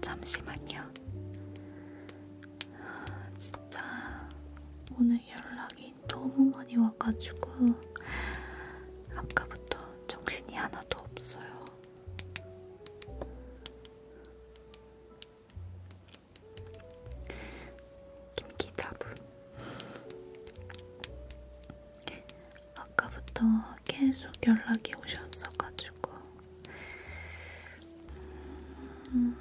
잠시만요. 진짜 오늘 연락이 너무 많이 와가지고 아까부터 정신이 하나도 없어요. 김기자분 아까부터 계속 연락이 오셨어가지고 음.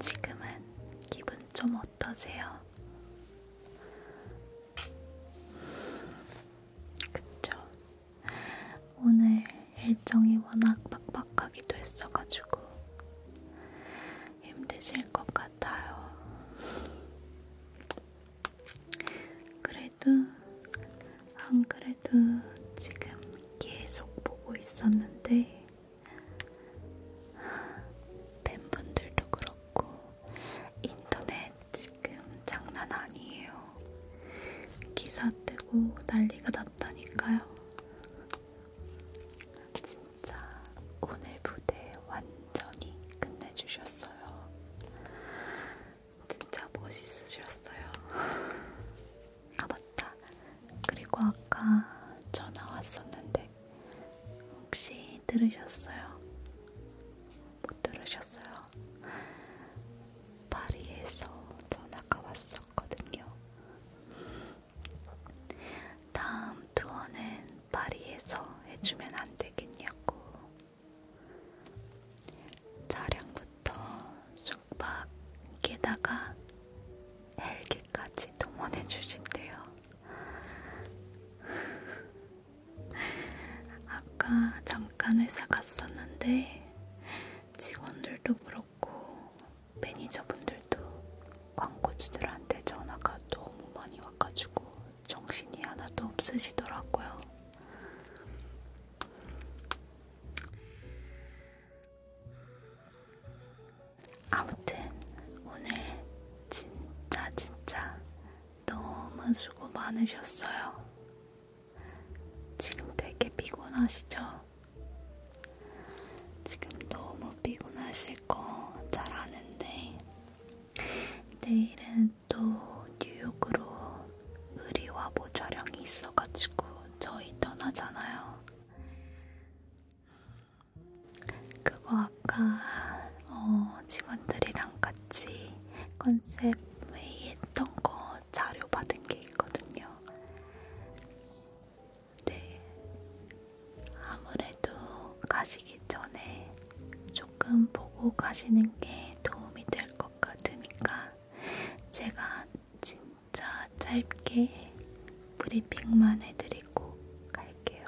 지금은 기분 좀 어떠세요? 그쵸. 오늘 일정이 워낙 빡빡하기도 했어가지고 힘드실 것 같아요. 그래도 안 그래도 지금 계속 보고 있었는데 팬분들도 그렇고 인터넷 지금 장난 아니에요. 기사 뜨고 난리가 났다니까요. 진짜 오늘 무대 완전히 끝내주셨어요. 진짜 멋있으셨어요. 아, 맞다. 그리고 아까 전화 왔었는데, 혹시 들으셨어요? 못 들으셨어요? 파리에서 전화가 왔었거든요. 다음 홈투어는 파리에서 해주면 안 되겠냐고. 차량부터 숙박, 게다가 헬기까지 동원해 주신대요. 아까 잠깐 회사 갔었는데 직원들도 그렇고 매니저분들도 광고주들한테 전화가 너무 많이 와가지고 정신이 하나도 없으시더라고요. 아무튼 오늘 진짜 진짜 너무 수고 많으셨어요. 지금 되게 피곤하시죠? 지금 너무 피곤하실 거 잘 아는데 내일은 또 뉴욕으로 의리화보 촬영이 있어가지고 저희 떠나잖아요. 그거 아까 어, 직원들이랑 같이 컨셉 회의했던 거 자료 받은 게 있거든요. 네, 아무래도 가시기 전에 조금 보고 가시는 게 도움이 될 것 같으니까 제가 진짜 짧게 브리핑만 해드리고 갈게요.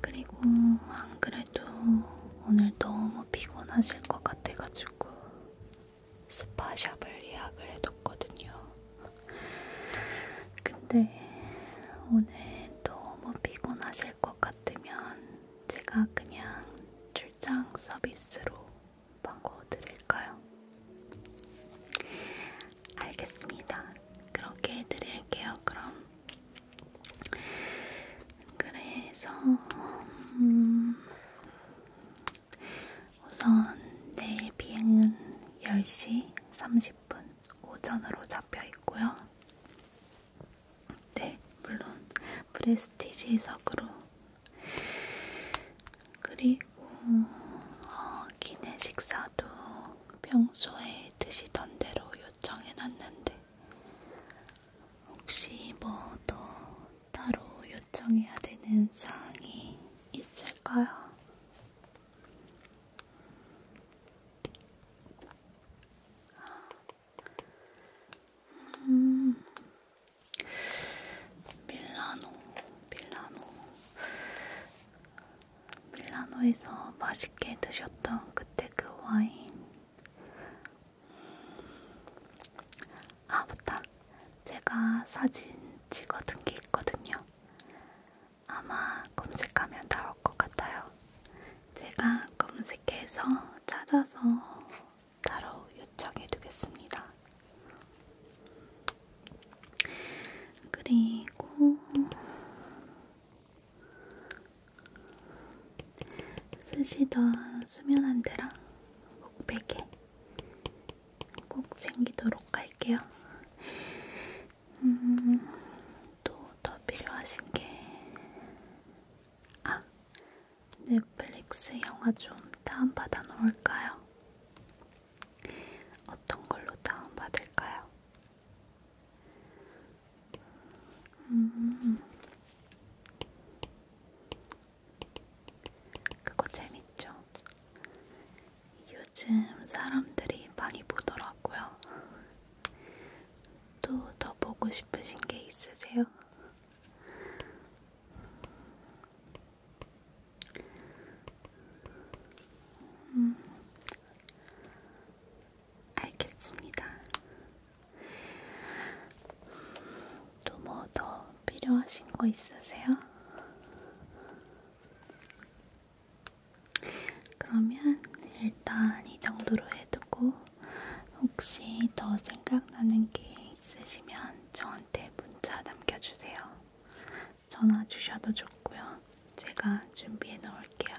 그리고 안 그래도 오늘 너무 피곤하실 것 같아가지고 스파샵을 예약을 해뒀거든요. 근데 오늘 너무 피곤하실 것 같으면 제가 그냥 출장 서비스로 광고 드릴까요? 알겠습니다. 그렇게 해드릴게요, 그럼. 그래서, 음, 우선 내일 비행은 10시 30분. 오전으로 잡혀 있고요. 네, 물론 프레스티지석으로 그리고 어, 기내식사도 평소에 드시던 대로 요청해놨는데 혹시 뭐 더 따로 요청해야 되는 사항이 있을까요? 음, 밀라노, 밀라노, 밀라노에서 맛있게 드셨던 그때 그 와인. 음, 아, 맞다. 제가 사진 찍어둔 게 있거든요. 아마 검색하면 나올 것 같아요. 제가 검색해서 찾아서 따로 요청해 두겠습니다. 그리고 쓰시던 수면 안대랑 목베개 꼭 챙기도록 할게요. 음, 또더 필요하신 게, 아, 넷플릭스 영화 좀 다운받아 놓을까요? 어떤 걸로 다운받을까요? 음, 그거 재밌죠? 요즘 사람들이 많이 보더라고요. 또더 보고 싶으신 게 있으세요? 음, 알겠습니다. 또 뭐 더 필요하신 거 있으세요? 그러면 일단 이 정도로 해두고 혹시 더 생각나는 게 있으시면 저한테 문자 남겨주세요. 전화 주셔도 좋고요. 제가 준비해 놓을게요.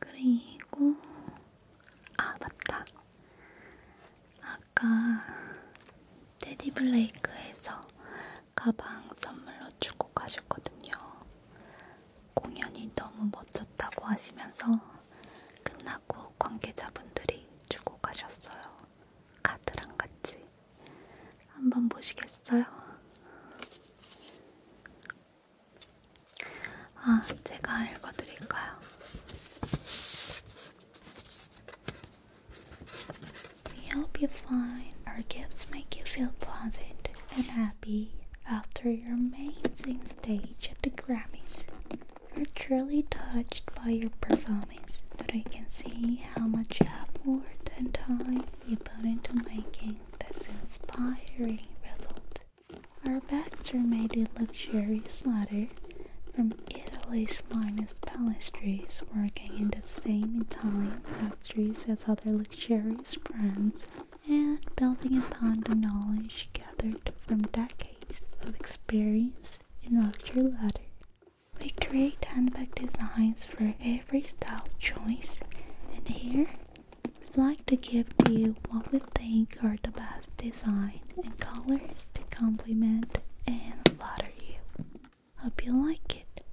그리고 아 맞다. 아까 테디블레이크에서 가방 선물로 주고 가셨거든요. 공연이 너무 멋졌다고 하시면서 끝나고 관계자분들이 주고 가셨어요. 카드랑 같이. 한번 보시겠어요? 아, 제가 읽어드릴까요? We hope you find our gifts make you feel pleasant and happy after your amazing stage at the Grammys. We're truly touched by your performance, but we can see how much effort and time you put into making this inspiring result. Our bags are made in luxurious leather from Italy's finest pastries working in the same time luxuries as other luxurious brands and building upon the knowledge gathered from decades of experience in luxury leather. We create handbag designs for every style choice, and here we'd like to give you what we think are the best designs and colors to complement and flatter you. Hope you like it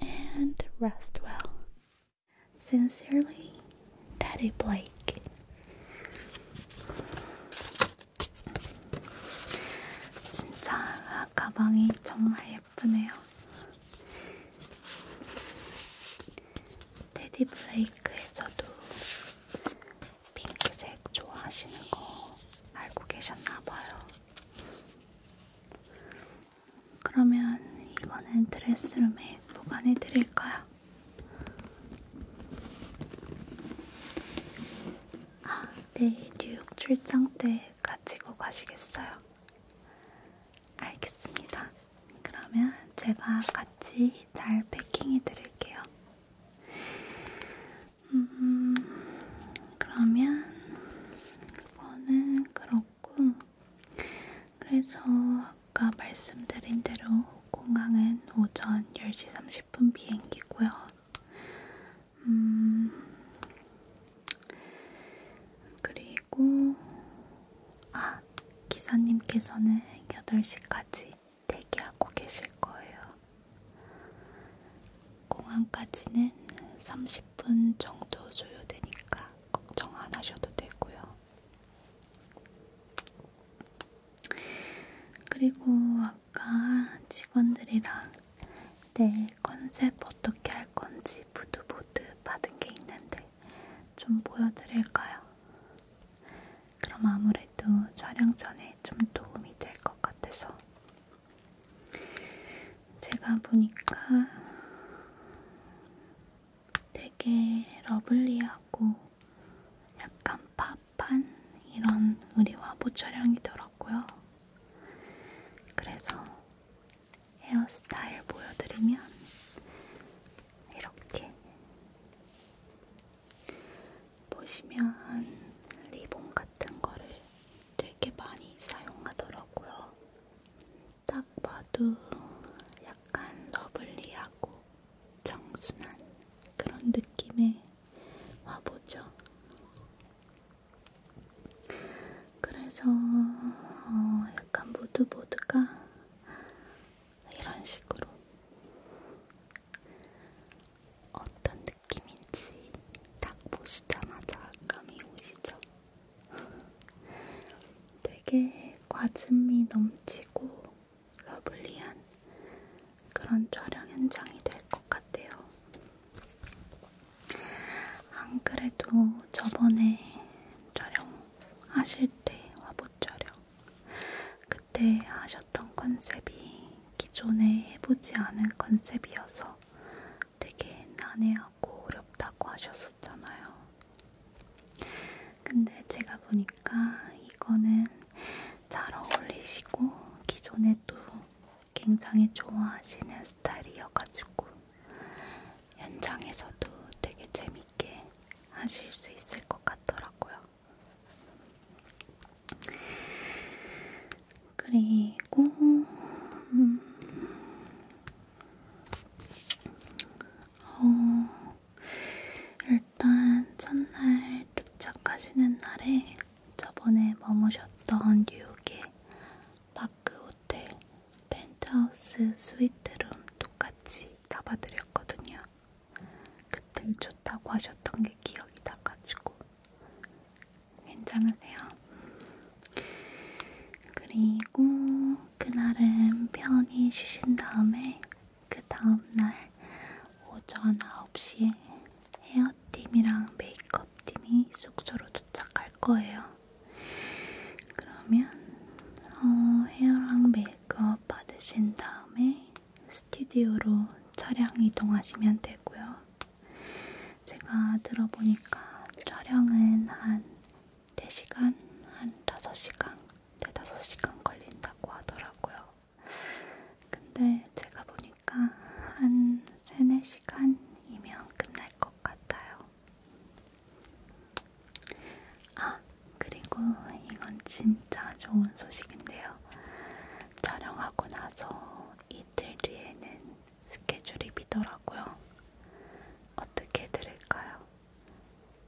and rest well. Sincerely, Daddy Blake. 진짜 가방이 정말 예쁘네요. 테디 블레이크에서도 핑크색 좋아하시는 거 알고 계셨나봐요. 그러면 이거는 드레스룸에 보관해 드릴 거야. 아, 네, 뉴욕 출장 때 가지고 가시겠어요? 알겠습니다. 그러면 제가 같이 잘 패킹해 드릴게요. 음, 그러면 그거는 그렇고 그래서 아까 말씀드린 대로 공항은 오전 10시 30분 비행기고요. 음, 그리고 아 기사님께서는 8시까지 대기하고 계실 거예요. 공항까지는 30분 정도 소요되니까 걱정 안 하셔도 되고요. 그리고 아까 직원들이랑 내일 컨셉 어떻게 할 건지 부두보드 받은 게 있는데 좀 보여드릴까요? 그럼 아무래도 촬영 전에 좀 도움이 될 것 같아서 제가 보니까 되게 러블리하고 약간 팝한 이런 의리화보 촬영이더라고요. 그래서 헤어스타일 보여드리면 이렇게 보시면 리본 같은 거를 되게 많이 사용하더라고요. 딱 봐도 약간 러블리하고 청순한 그런 느낌의 화보죠. 그래서 어 약간 무드보드가 이런 식으로 어떤 느낌인지 딱 보시자마자 감이 오시죠? 되게 과즙미 넘치고 러블리한 그런 촬영 현장이 될 것 같아요. 안 그래도 저번에 촬영하실 때 화보 촬영 그때 하셨던 컨셉이 기존에 해보지 않은 컨셉이어서 되게 난해하고 하고 어렵다고 하셨었잖아요. 근데 제가 보니까 이거는 잘 어울리시고 기존에도 굉장히 좋아하시는 스타일이어가지고 현장에서도 되게 재밌게 하실 수 있을 것 같더라고요. 그리고 음, 어, 일단 첫날 도착하시는 날에 저번에 머무셨던 뉴욕의 마크 호텔 펜트하우스 스위트룸 똑같이 잡아드렸거든요. 그때 좋다고 하셨던 게 기억이 나가지고 괜찮으세요? 그리고 그날은 편히 쉬신 다음에 그 다음날 오전 9시에 헤어팀이랑 메이크업팀이 숙소로 도착할 거예요. 그러면 어, 헤어랑 메이크업 받으신 다음에 스튜디오로 차량 이동하시면 되고요. 제가 들어보니까 촬영은 한 4시간, 한 5시간, 4-5시간 걸린다고 하더라고요. 근데 제가 보니까 한 3, 4시간이면 끝날 것 같아요. 아, 그리고 이건 진짜 좋은 소식인데요. 촬영하고 나서 이틀 뒤에는 스케줄이비더라고요. 어떻게 들을까요?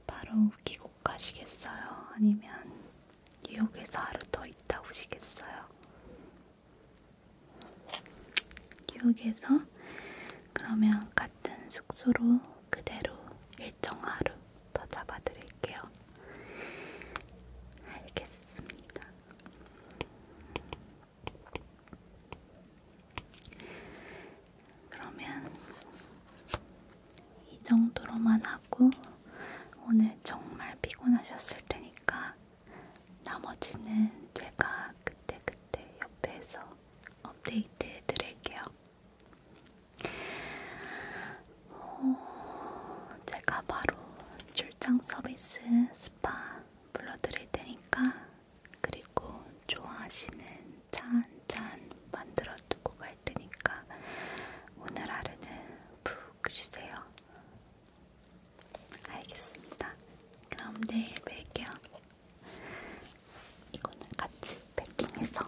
바로 미국 가시겠어요? 아니면 뉴욕에서 하루 더 있다 오시겠어요? 뉴욕에서 그러면 같은 숙소로 그대로 일정 하루 더 잡아드릴게요. 알겠습니다. 그러면 이 정도로만 하고 오늘 정말 피곤하셨을 테니까 나머지는 제가 그때그때 그때 옆에서 업데이트 해드릴게요. 오, 어, 제가 바로 출장 서비스 스파 불러드릴 테니까 그리고 좋아하시는 차한잔 만들어 두고 갈 테니까 오늘 하루는 푹 쉬세요. 알겠습니다. 그럼 내일 뵐게요. 이거는 같이 패킹해서.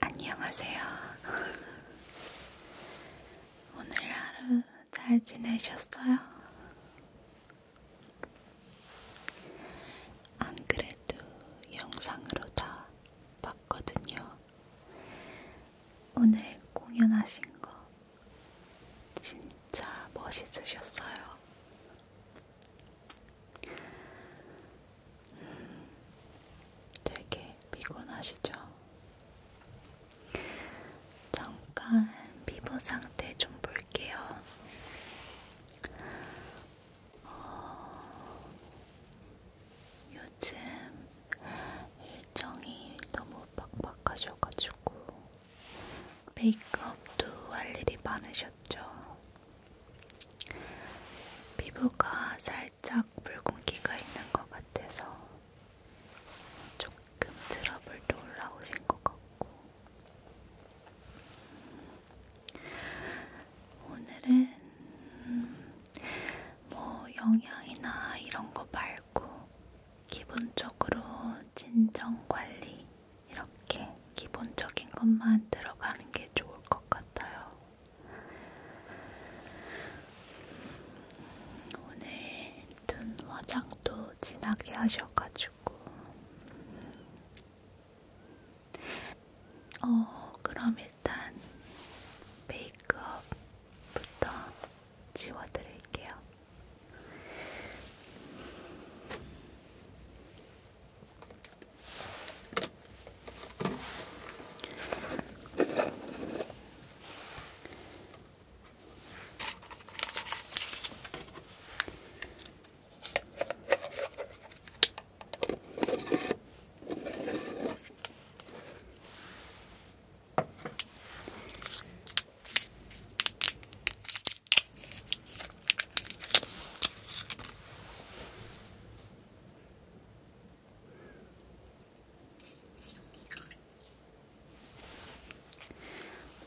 안녕하세요. 오늘 하루 잘 지내셨어요? 안 그래도 영상으로 다 봤거든요. 오늘 공연하신 거 진짜 멋있으셨어요. 음, 되게 피곤하시죠? 잠깐 피부 상태 좀 볼게요. 어, 요즘 일정이 너무 빡빡하셔가지고 메이크업도 할 일이 많으셨죠. 피부가 살짝 붉은기가 있는 것 같아서 조금 트러블도 올라오신 것 같고 오늘은 음, 뭐 영양이나 이런 거 말고 기본적으로 진정 관리 이렇게 기본적인 것만 들어가는 게 좋을 것 같아요. 오늘 눈 화장도 진하게 하셔가지고 어 그럼 일단 메이크업부터 지워드릴게요.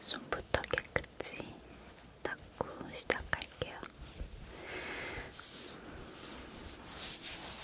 손부터 깨끗이 닦고 시작할게요.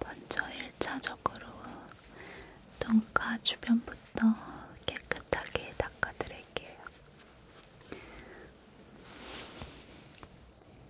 먼저 1차적으로 눈가 주변부터 깨끗하게 닦아드릴게요.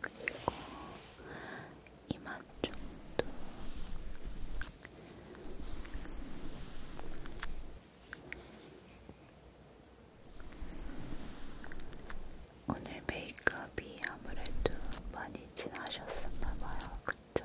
그리고 이마 쪽도 오늘 메이크업이 아무래도 많이 진하셨었나봐요, 그쵸?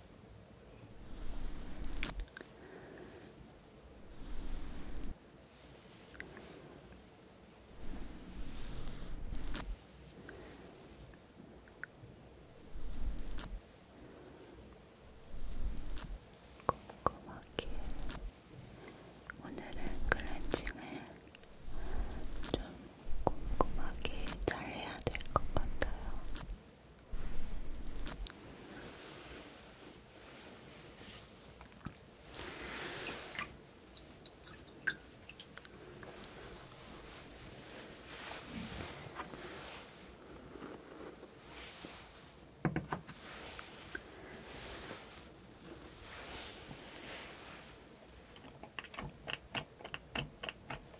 꼼꼼하게 오늘은 클렌징을 좀 꼼꼼하게 잘해야 될 것 같아요.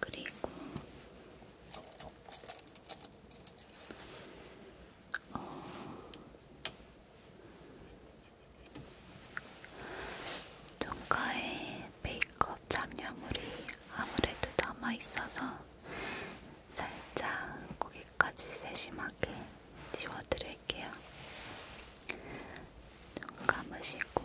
그리고 어, 종가에 메이크업 잡념물이 아무래도 남아있어서 살짝 거기까지 세심하게 지워드릴게요. 눈 감으시고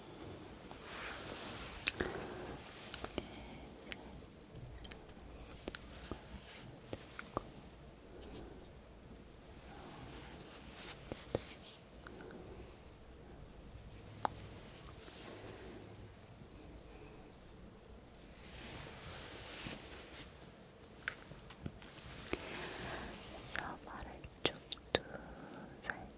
서바를 쪽두 살짝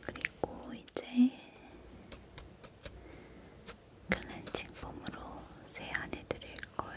그리고 이제 클렌징 폼으로 세안해 드릴 거예요.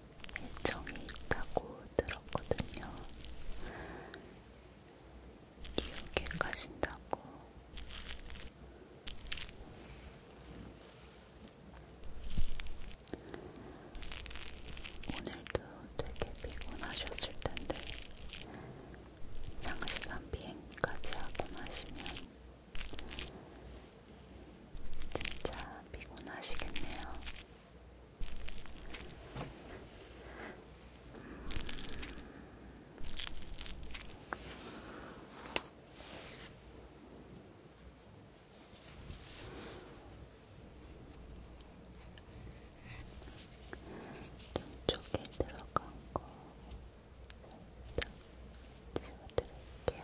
일정이 있다고 들었거든요. 뉴욕에 가신다고. 오늘도 되게 피곤하셨을 텐데, 장시간 비행까지 하고 나시면 진짜 피곤하시겠네요. 쪽에 들어간 거 살짝 지워드릴게요.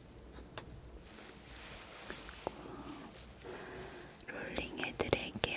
롤링 해드릴게요.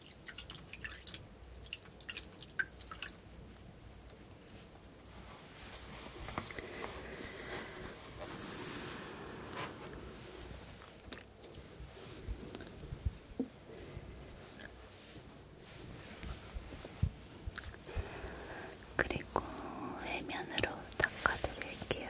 그리고 해면으로 닦아드릴게요.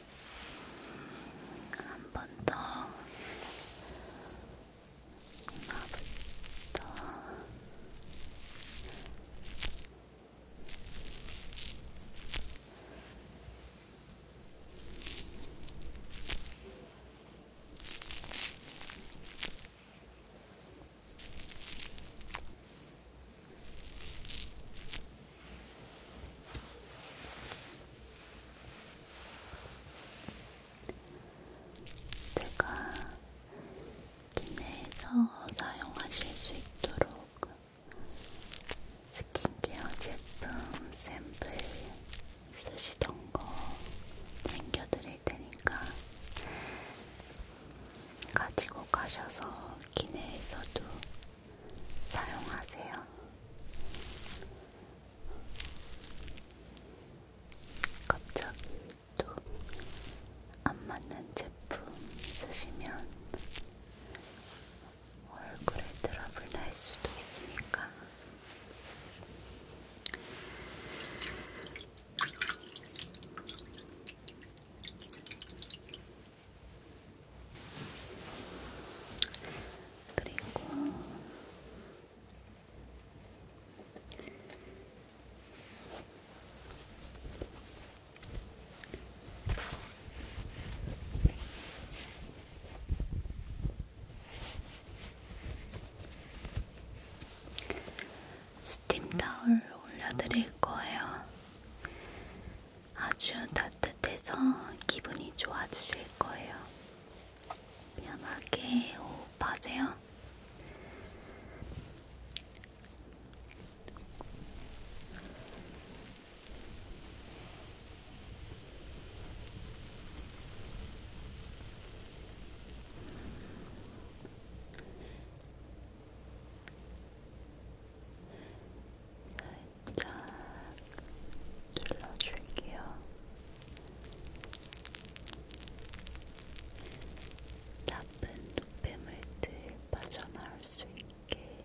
한번더 이마부터 이마부터 제가 기내에서 사용하실 수 있도록 스킨케어 제품 샘플 쓰시던 거 챙겨드릴 테니까 가지고 가셔서 기내에서도 사용하세요. 갑자기 또 안 맞는 제품 쓰시면 얼굴에 트러블 날 수도 있으니까 그리고 스팀 타올 올려드릴 거예요. 아주 따뜻해서 기분이 좋아지실 거예요. 편하게 호흡하세요. 쫙 눌러줄게요. 나쁜 노폐물들 빠져나올 수 있게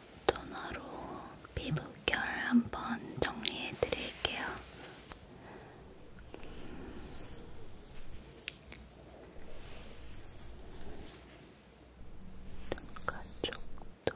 토너로 피부결 한번 정리해 드릴게요. 눈가 쪽도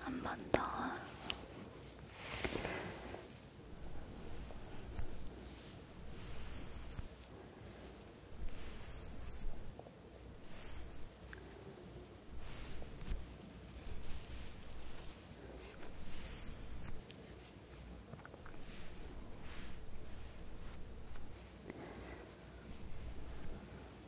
한번더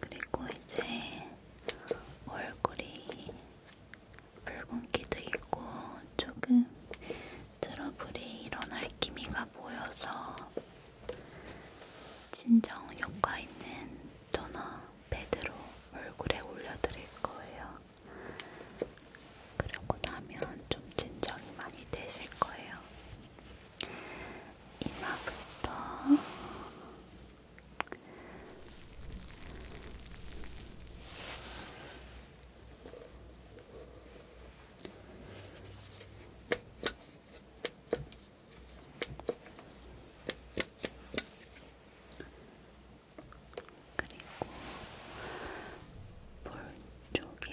그리고 이제 얼굴이 붉은기도 있고 조금 트러블이 일어날 기미가 보여서 진정 효과 있는 토너 패드로 얼굴에 올려드릴 거예요. 그러고 나면 좀 진정이 많이 되실 거예요. 이마부터 그리고 볼 쪽에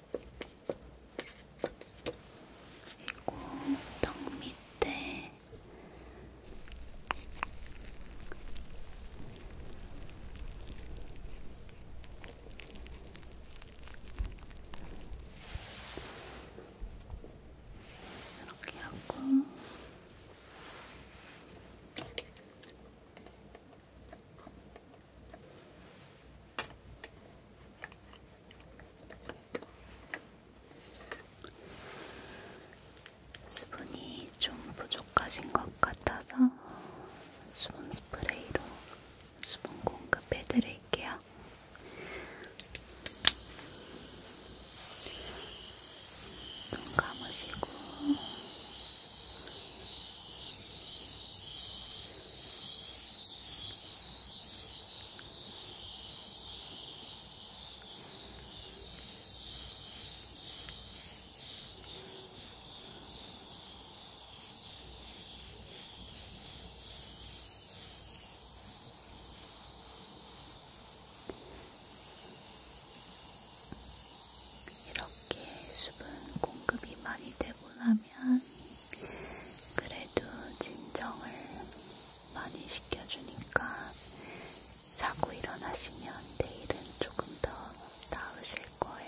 그리고 턱 밑에 이렇게 하고 수분이 좀 부족하신 것 같아서 수분 스프레이로 수분 공급해 드릴게요. 눈 감으시고 이렇게 수분 공급이 많이 되고 나면 하면 그래도 진정을 많이 시켜주니까 자고 일어나시면 내일은 조금 더 나으실 거예요.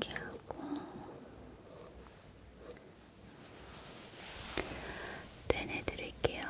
이렇게 하고 떼내 드릴게요. 이렇게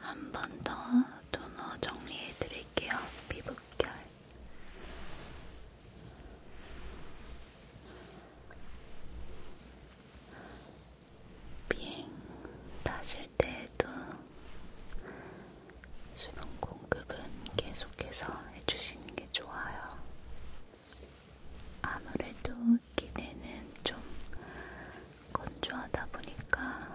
한번더 토너 정리해 드릴게요. 피부결 비행 타실 때에도 수분 공급은 계속해서 해주시는 게 좋아요. 아무래도 기내는 좀 건조하다 보니까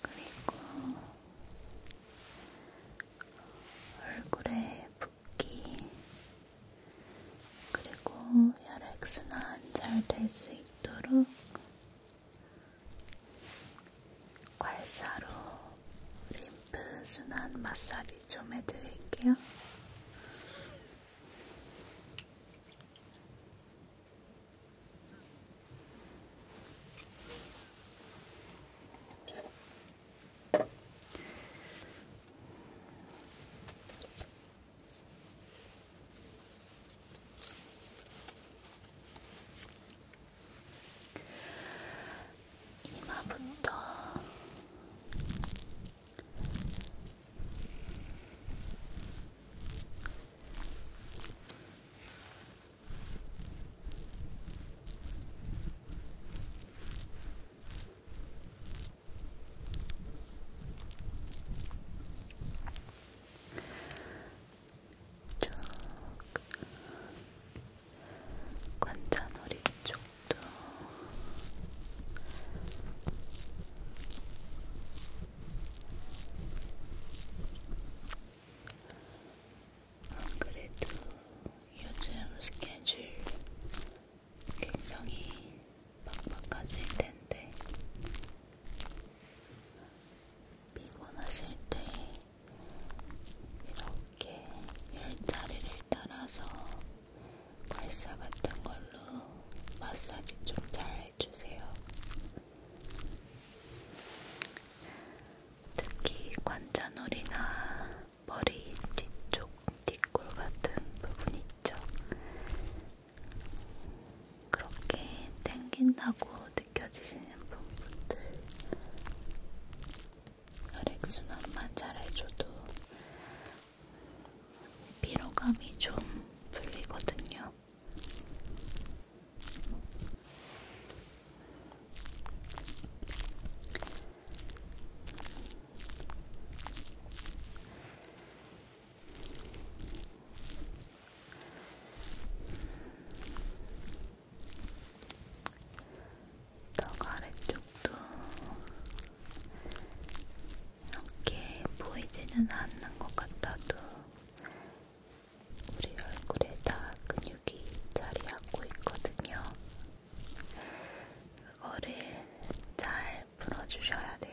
그리고 얼굴에 붓기, 그리고 혈액순환 잘 될 수 있도록 괄사로 림프순환 마사지 좀 해드릴게요. 이마부터 쭉 관자놀이 쪽도 안 그래도 요즘 스케줄 굉장히 빡빡해질 텐데 피곤하실 때 이렇게 열자리를 따라서 발사 같은 걸로 마사지 좀 잘 해주세요. 특히 관자놀이나 머리 뒤쪽 뒷골 같은 부분 있죠. 그렇게 땡긴다고 느껴지시는 부분들 혈액순환만 잘해줘도 피로감이 좀 풀리거든요. 떡 아래쪽도 이렇게 보이지는 않는 것 같아도 우리 얼굴에 다 근육이 자리하고 있거든요. 그거를 잘 풀어주셔야 돼요.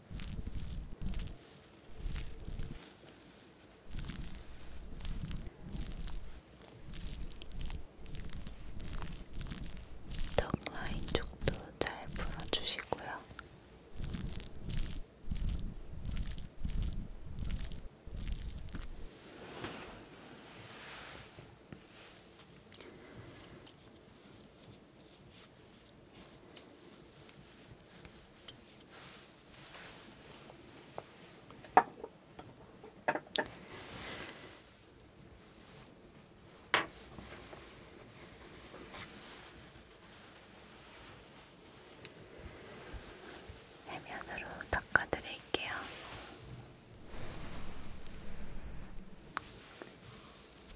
턱 라인 쪽도 잘 풀어주시고요. 해면으로 닦아드릴게요.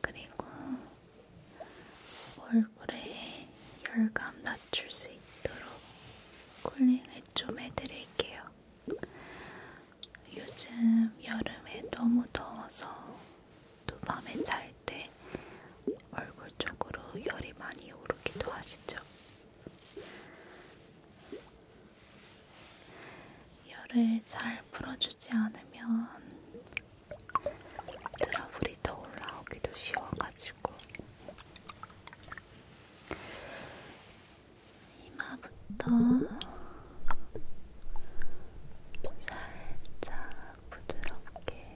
그리고 얼굴에 열감 낮출 수 있도록 쿨링을 좀 해드릴게요. 요즘 여름에 너무 더워서 또 밤에 잘 때 얼굴 쪽으로 열이 많이 오르기도 하시죠? 열을 잘 풀어주지 않으면 트러블이 더 올라오기도 쉬워가지고 이마부터 살짝 부드럽게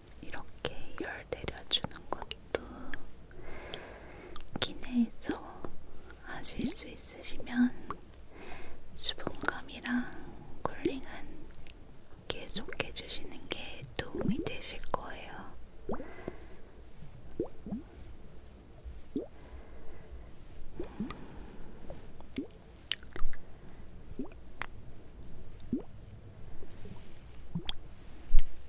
이렇게 열 내려주는 것도 기내에서 하실 수 있으시면 수분감이랑 쿨링은 계속 해주시는 게 도움이 되실 거예요.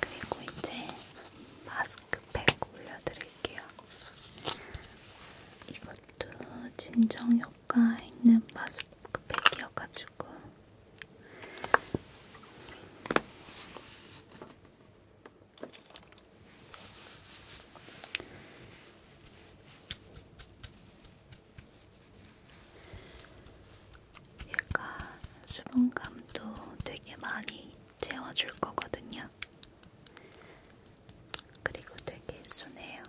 그리고 이제 마스크팩 올려드릴게요. 이것도 진정 효과 있는 마스크팩이어가지고 얘가 수분감도 되게 많이 채워줄 거거든요. 그리고 되게 순해요.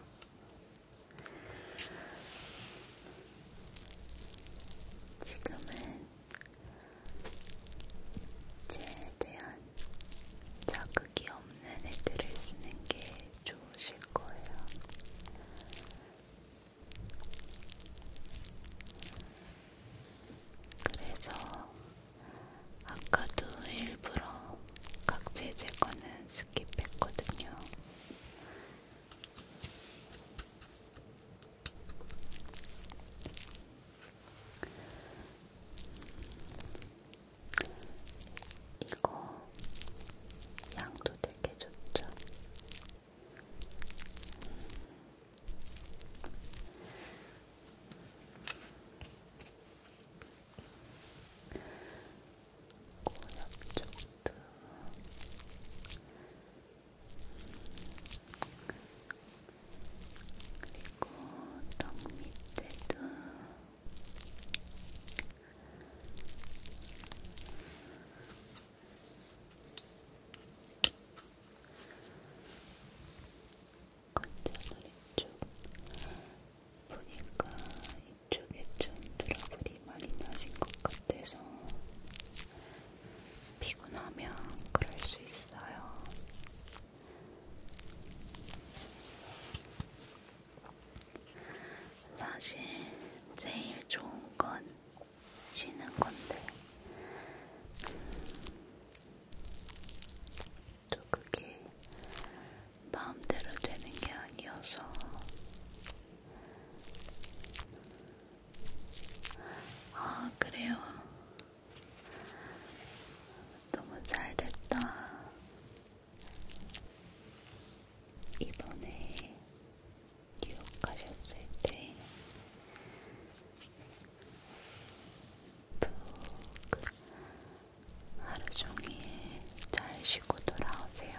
지금은 제 대한 자극이 없는 헤드를 쓰는 게 좋으실 거예요. 그래서 아까도 일부러 각질 제거는 스킵했거든요. 이거 양도 되게 좋죠. 고엽 음. 쪽도 그리고 턱 밑에도. 관자놀이 쪽 보니까 이쪽에 좀 트러블이 많이 나신 것 같아서 피곤하면 그럴 수 있어요. 사실 제일 좋은 건 쉬는 건데 또 그게 마음대로 되는 게 아니어서 아 그래요 너무 잘 됐다 이번에 뉴욕 가셨을 때 푹 하루 종일 잘 쉬고 돌아오세요.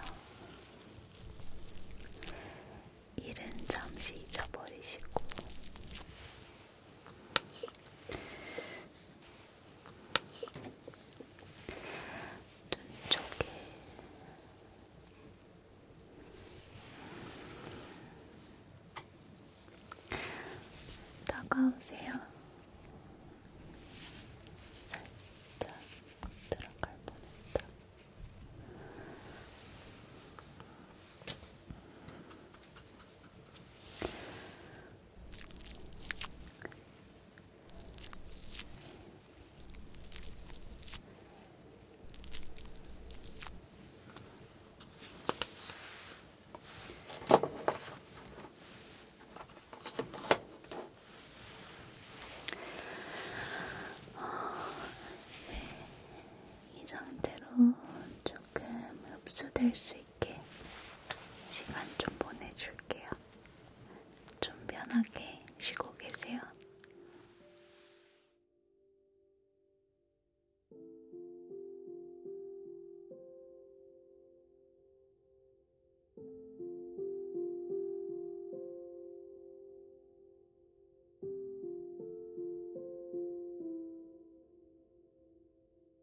일은 잠시 잊어버리시고 눈 쪽에 다가오세요. 살짝 들어갈 뻔했다. 이 상태로 조금 흡수될 수 있게 시간 좀 보내줄게요. 좀 편하게 쉬고 계세요.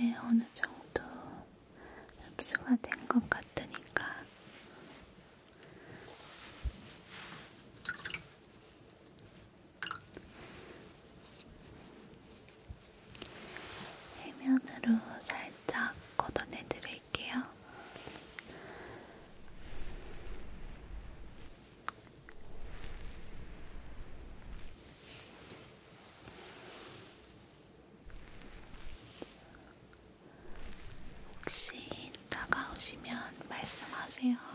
이제 어느 정도 흡수가 된 것 같으니까 해면으로 살짝 걷어내 드릴게요. 혹시 다가오시면 말씀하세요.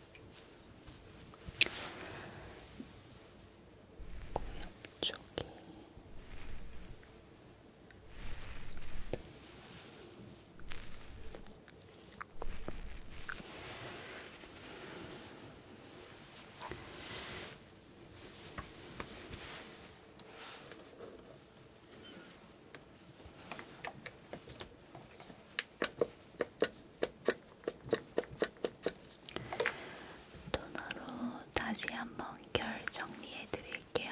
코 옆쪽에 토너로 다시 한번 결 정리해 드릴게요.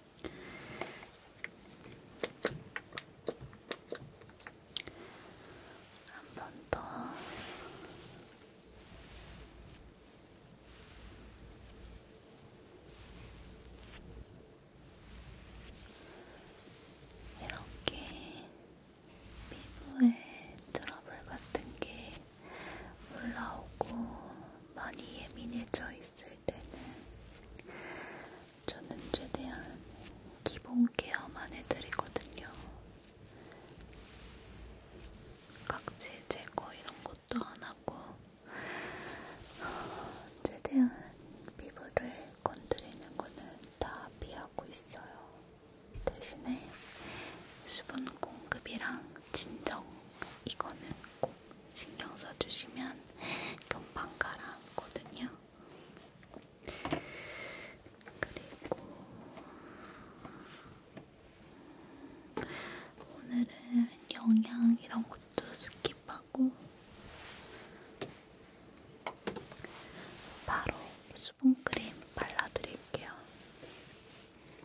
한번더 이렇게 피부에 트러블 같은 게 올라오고 많이 예민해져 있을 할 때는 저는 최대한 기본 케어만 해드리거든요. 각질 제거 이런 것도 안 하고 최대한 피부를 건드리는 거는 다 피하고 있어요. 대신에 수분 공급이랑 진정 이거는 꼭 신경 써주시면 금방 가라앉거든요. 그리고 오늘은 영양 이런 것도 스킵하고 바로 수분크림 발라드릴게요.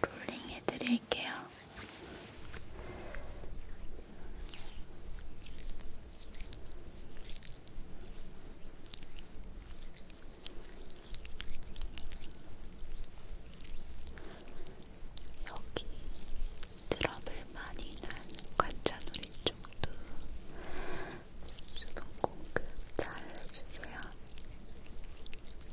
롤링 해드릴게요. 여기 트러블 많이 난 관자놀이 쪽도 수분 공급 잘 해주세요.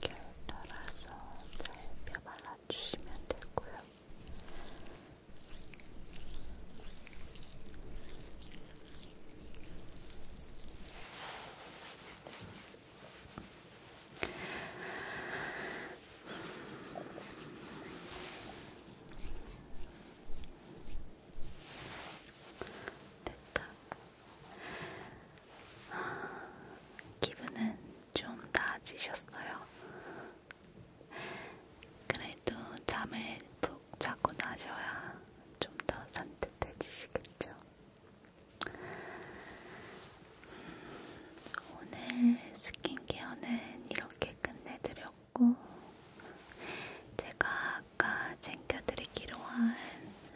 결돌아서 살펴 발라주시면 되고요. 음, 됐다. 아, 기분은 좀 나아지셨어요. 그래도 잠을 푹 자고 나셔야 좀 더 산뜻해지시겠죠. 오늘 스킨케어는 이렇게 끝내드려고 같고 제가 아까 챙겨드리기로 한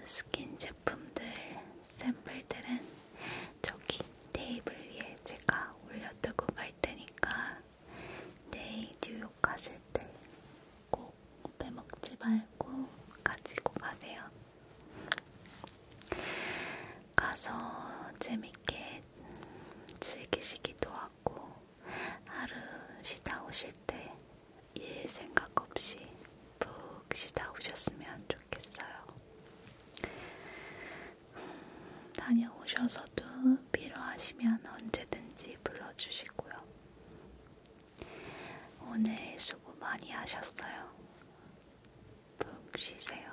스킨 제품들 샘플들은 저기 테이블 위에 제가 올려두고 갈 테니까 내일 뉴욕 가실 때 꼭 빼먹지 말고 가지고 가세요. 가서 재밌게 즐기시기도 하고 같고 하루 쉬다 오실 때 일 생각 없이 푹 쉬다 오셨으면 좋겠어요. 음, 다녀오셔서도 필요하시면 언제든지 불러주시고요. 오늘 수고 많이 하셨어요. 푹 쉬세요.